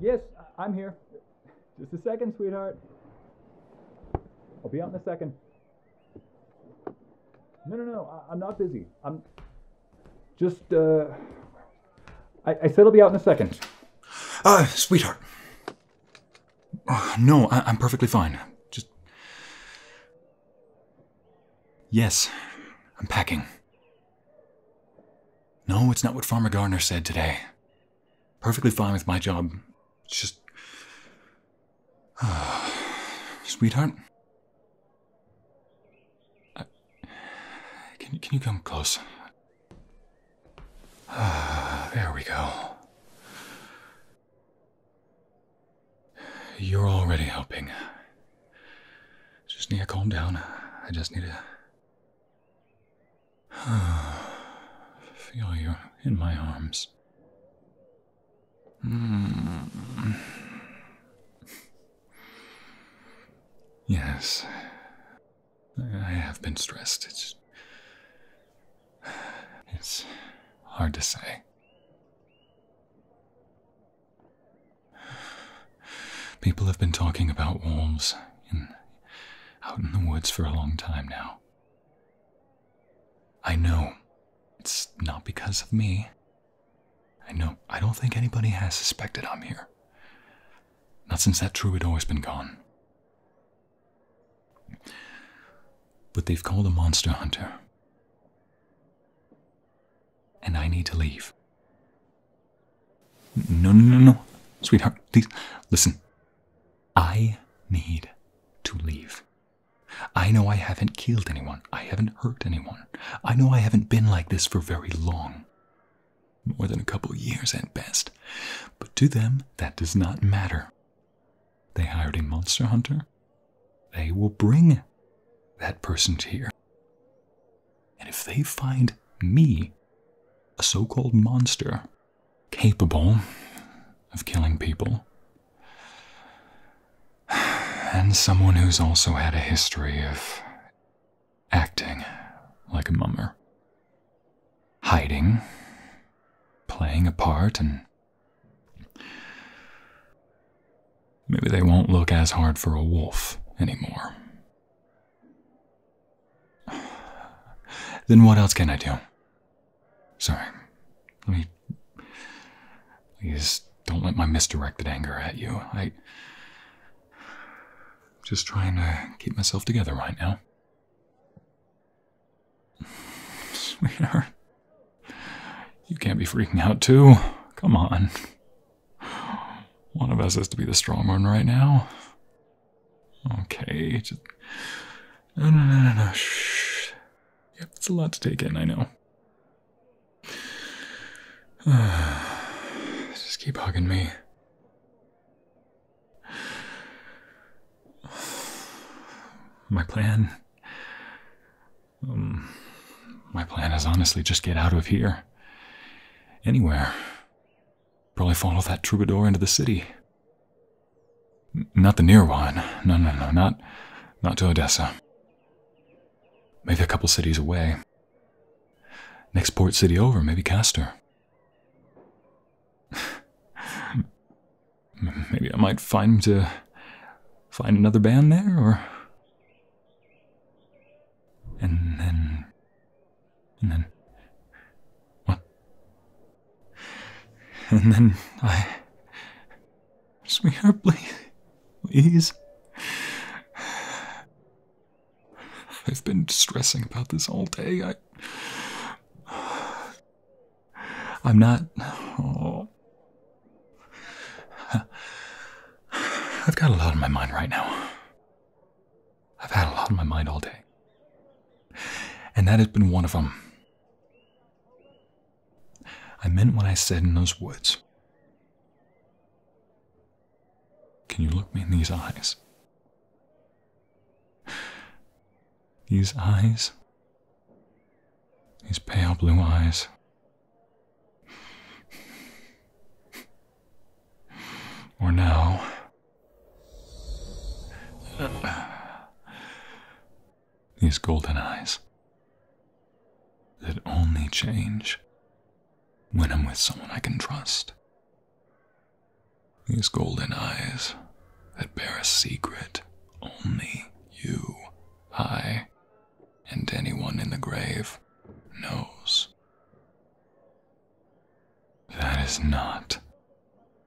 Yes, I'm here. Just a second, sweetheart. I'll be out in a second. No, no, no. I, am not busy. I'm just uh, I, said I'll be out in a second. Ah, sweetheart. Ah, no, I, am perfectly fine. Just. Yes, I'm packing. No, it's not what Farmer Gardner said today. Perfectly fine with my job. It's just. Uh, sweetheart? I... Can, can you come close? Ah, there we go. You're already helping. Just need to calm down. I just need to feel you in my arms. Hmm. Yes, I have been stressed. It's. It's hard to say. People have been talking about wolves in, out in the woods for a long time now. I know it's not because of me. I know I don't think anybody has suspected I'm here. Not since that druid always been gone. But they've called a monster hunter. And I need to leave. No, no, no, no. Sweetheart, please, listen. I need to leave. I know I haven't killed anyone. I haven't hurt anyone. I know I haven't been like this for very long more than a couple years at best. But to them, that does not matter. They hired a monster hunter. They will bring that person here. And if they find me, a so called monster, capable of killing people, and someone who's also had a history of acting like a mummer, hiding, playing a part, and maybe they won't look as hard for a wolf anymore. Then what else can I do? Sorry. Let me. Please don't let my misdirected anger at you. I. am Just trying to keep myself together right now. Sweetheart, you can't be freaking out too. Come on. One of us has to be the strong one right now. Okay, no, no, no, no. Shh. Yep, it's a lot to take in, I know. just keep hugging me. My plan. Um, my plan is honestly just get out of here. Anywhere. Probably follow that troubadour into the city. not the near one. No, no, no, not, not to Odessa. Maybe a couple cities away. Next port city over, maybe Castor. Maybe I might find to find another band there, or. And then. And then. What? And then I. Sweetheart, please. Please. I've been stressing about this all day. I. I'm not. Oh. I've got a lot on my mind right now. I've had a lot on my mind all day. And that has been one of them. I meant what I said in those woods. Can you look me in these eyes? These eyes, these pale blue eyes. Or now. these golden eyes that only change when I'm with someone I can trust. These golden eyes that bear a secret only you, I, and anyone in the grave knows. That is not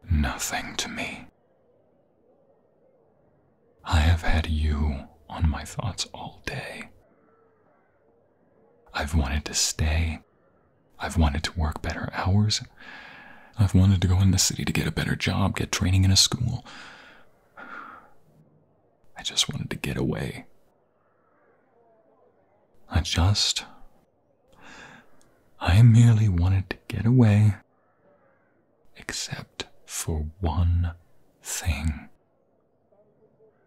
nothing to me. I have had you on my thoughts all day. I've wanted to stay I've wanted to work better hours. I've wanted to go in the city to get a better job, get training in a school. I just wanted to get away. I just. I merely wanted to get away. Except for one thing.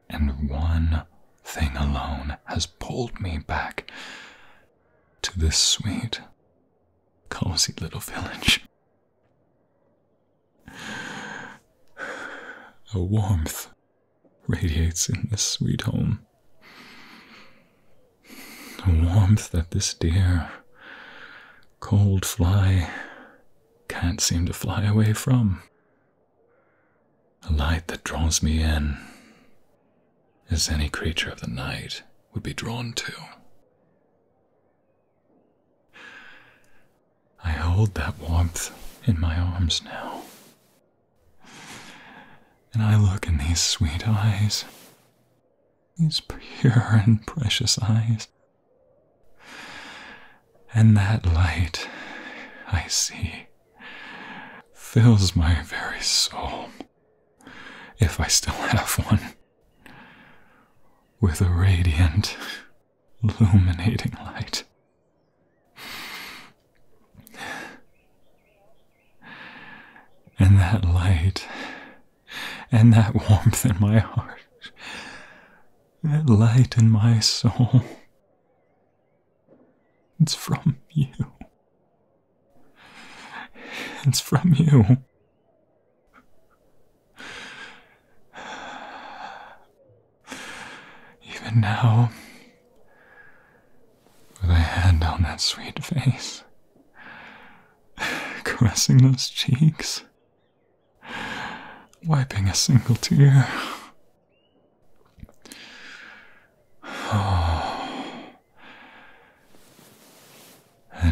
And one thing alone has pulled me back to this sweet, cozy little village. A warmth radiates in this sweet home. A warmth that this dear, cold fly can't seem to fly away from a light that draws me in, as any creature of the night would be drawn to. I hold that warmth in my arms now, and I look in these sweet eyes, these pure and precious eyes. And that light I see fills my very soul, if I still have one, with a radiant, illuminating light. And that light, and that warmth in my heart, that light in my soul it's from you. It's from you. Even now, with a hand on that sweet face, caressing those cheeks, wiping a single tear, and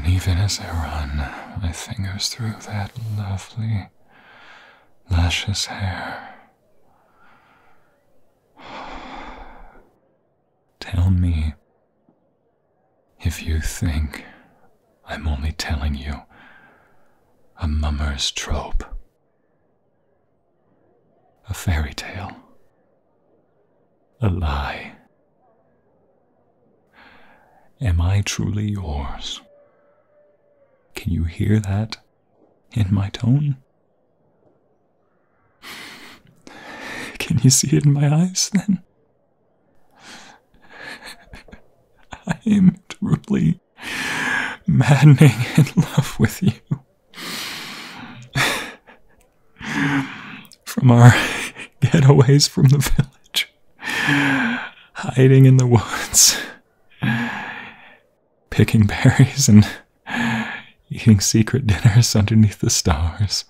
even as I run my fingers through that lovely luscious hair. Tell me if you think I'm only telling you a mummer's trope. A fairy tale. A lie. Am I truly yours? Can you hear that in my tone? Can you see it in my eyes then? I am truly maddening in love with you. from our getaways from the village, hiding in the woods, picking berries, and eating secret dinners underneath the stars,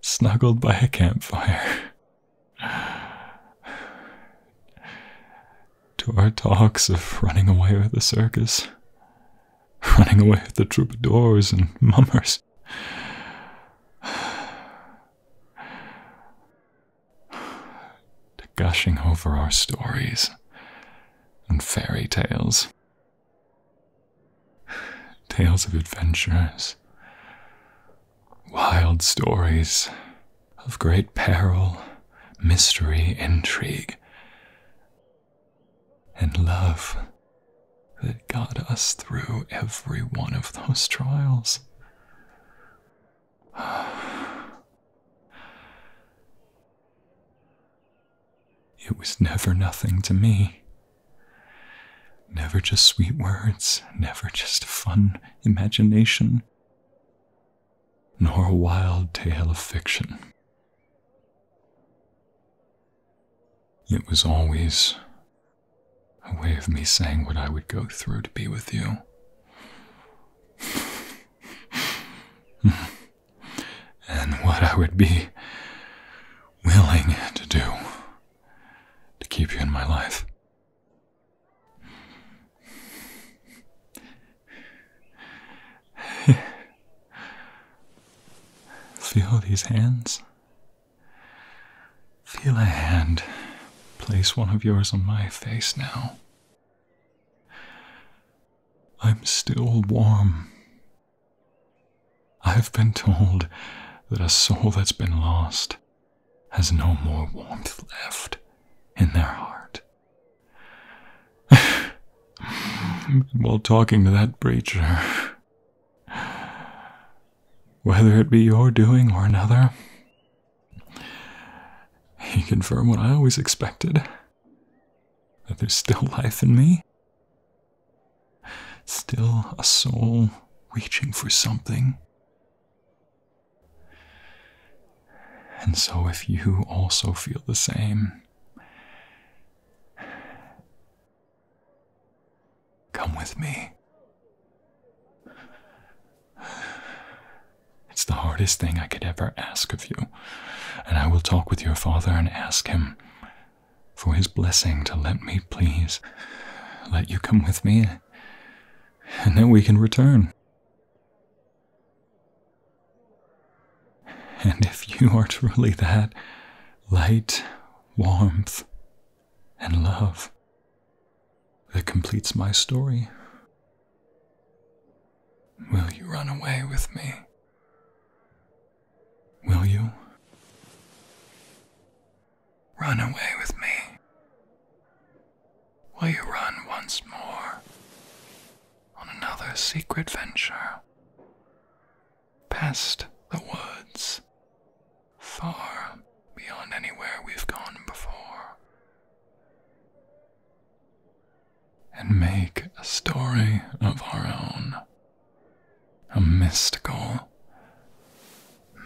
snuggled by a campfire. To our talks of running away with the circus, running away with the troubadours and mummers. gushing over our stories and fairy tales. Tales of adventures, wild stories of great peril, mystery, intrigue, and love that got us through every one of those trials. It was never nothing to me. Never just sweet words, never just fun imagination, nor a wild tale of fiction. It was always a way of me saying what I would go through to be with you. and what I would be willing to do to keep you in my life. Feel these hands. Feel a hand. Place one of yours on my face now. I'm still warm. I've been told that a soul that's been lost has no more warmth left in their heart. while talking to that preacher. Whether it be your doing or another, you confirm what I always expected that there's still life in me, still a soul reaching for something. And so, if you also feel the same, Come with me. It's the hardest thing I could ever ask of you, and I will talk with your father and ask him for his blessing to let me please let you come with me, and then we can return. And if you are truly that light, warmth, and love, that completes my story, will you run away with me? Will you? Run away with me. Will you run once more on another secret venture past the woods, far beyond anywhere we've gone before, and make a story of our own. A mystical,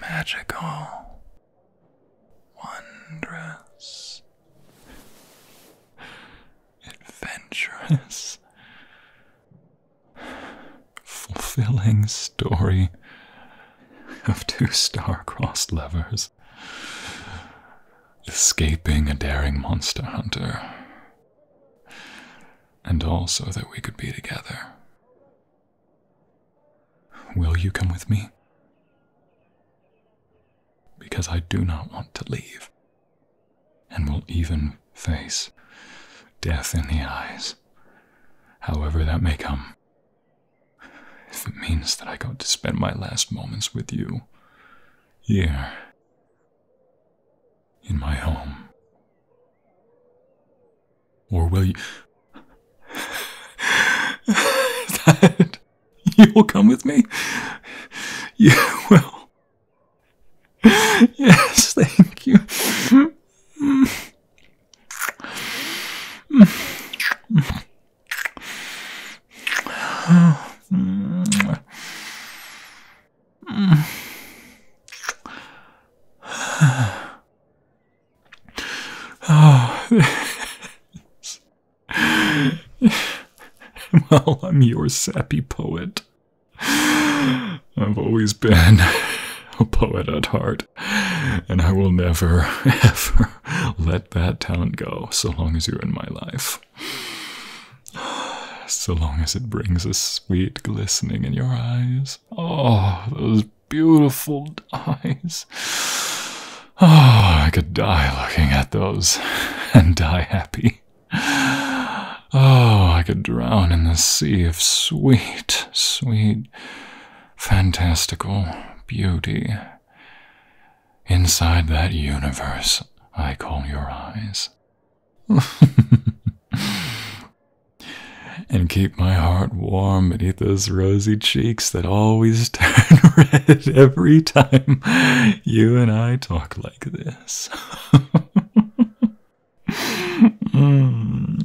magical, wondrous, adventurous, fulfilling story of two star-crossed lovers escaping a daring monster hunter. And also that we could be together. Will you come with me? Because I do not want to leave and will even face death in the eyes, however that may come. If it means that I got to spend my last moments with you, here, in my home. Or will you. that. You will come with me? You will yes, thank you. well, I'm your sappy poet. I've always been a poet at heart, and I will never, ever let that talent go so long as you're in my life. So long as it brings a sweet glistening in your eyes. Oh, those beautiful eyes. Oh, I could die looking at those and die happy. Oh, I could drown in the sea of sweet, sweet, fantastical beauty. Inside that universe I call your eyes. and keep my heart warm beneath those rosy cheeks that always turn red every time you and I talk like this. Hmm.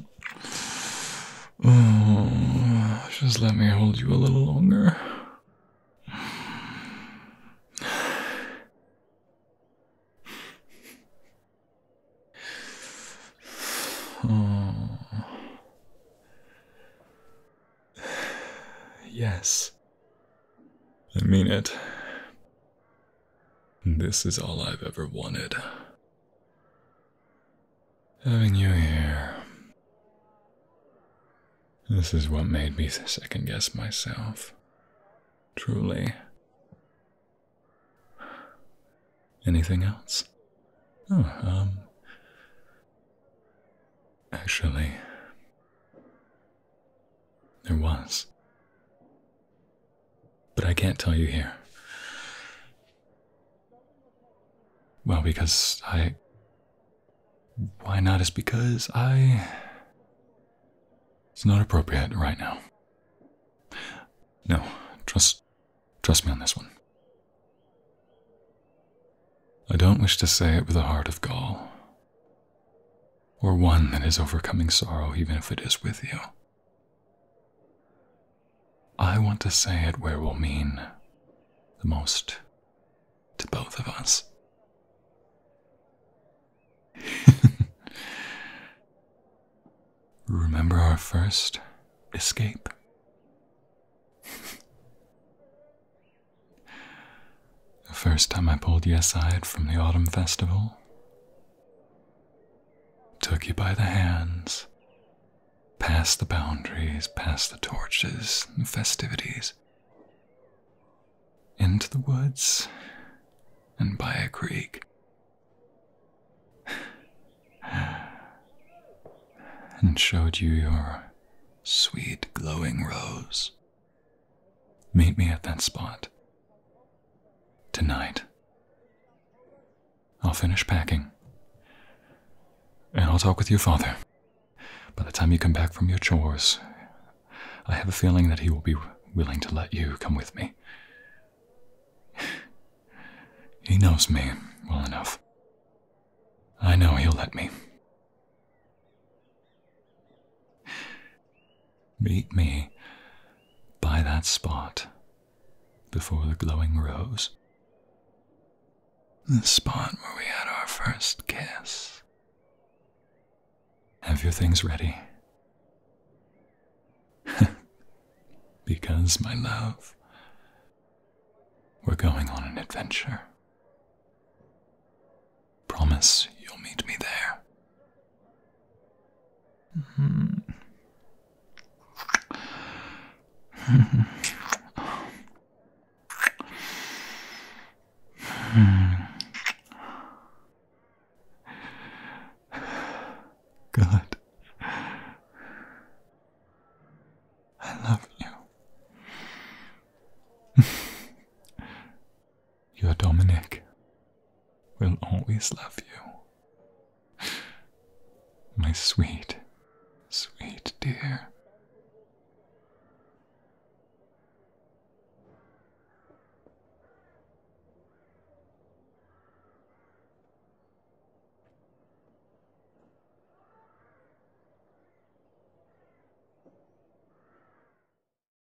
Hmm. just let me hold you a little longer. Hmm. Yes. I mean it. This is all I've ever wanted. Having you here. This is what made me second guess myself. Truly. Anything else? Oh, um. Actually, there was. But I can't tell you here. Well, because I. Why not? Is because I. It's not appropriate right now. No, trust. Trust me on this one. I don't wish to say it with a heart of gall or one that is overcoming sorrow even if it is with you. I want to say it where it will mean the most to both of us. Remember our first escape? The first time I pulled you aside from the autumn festival, took you by the hands, past the boundaries, past the torches and festivities, into the woods and by a creek. and showed you your sweet glowing rose. Meet me at that spot. Tonight. I'll finish packing. And I'll talk with your father. By the time you come back from your chores, I have a feeling that he will be willing to let you come with me. He knows me well enough. I know he'll let me. Meet me by that spot before the glowing rose. The spot where we had our first kiss. Have your things ready. because, my love, we're going on an adventure. Promise you'll meet me there. Mm -hmm. God, I love you. Your Dominic will always love you. My sweet, sweet dear.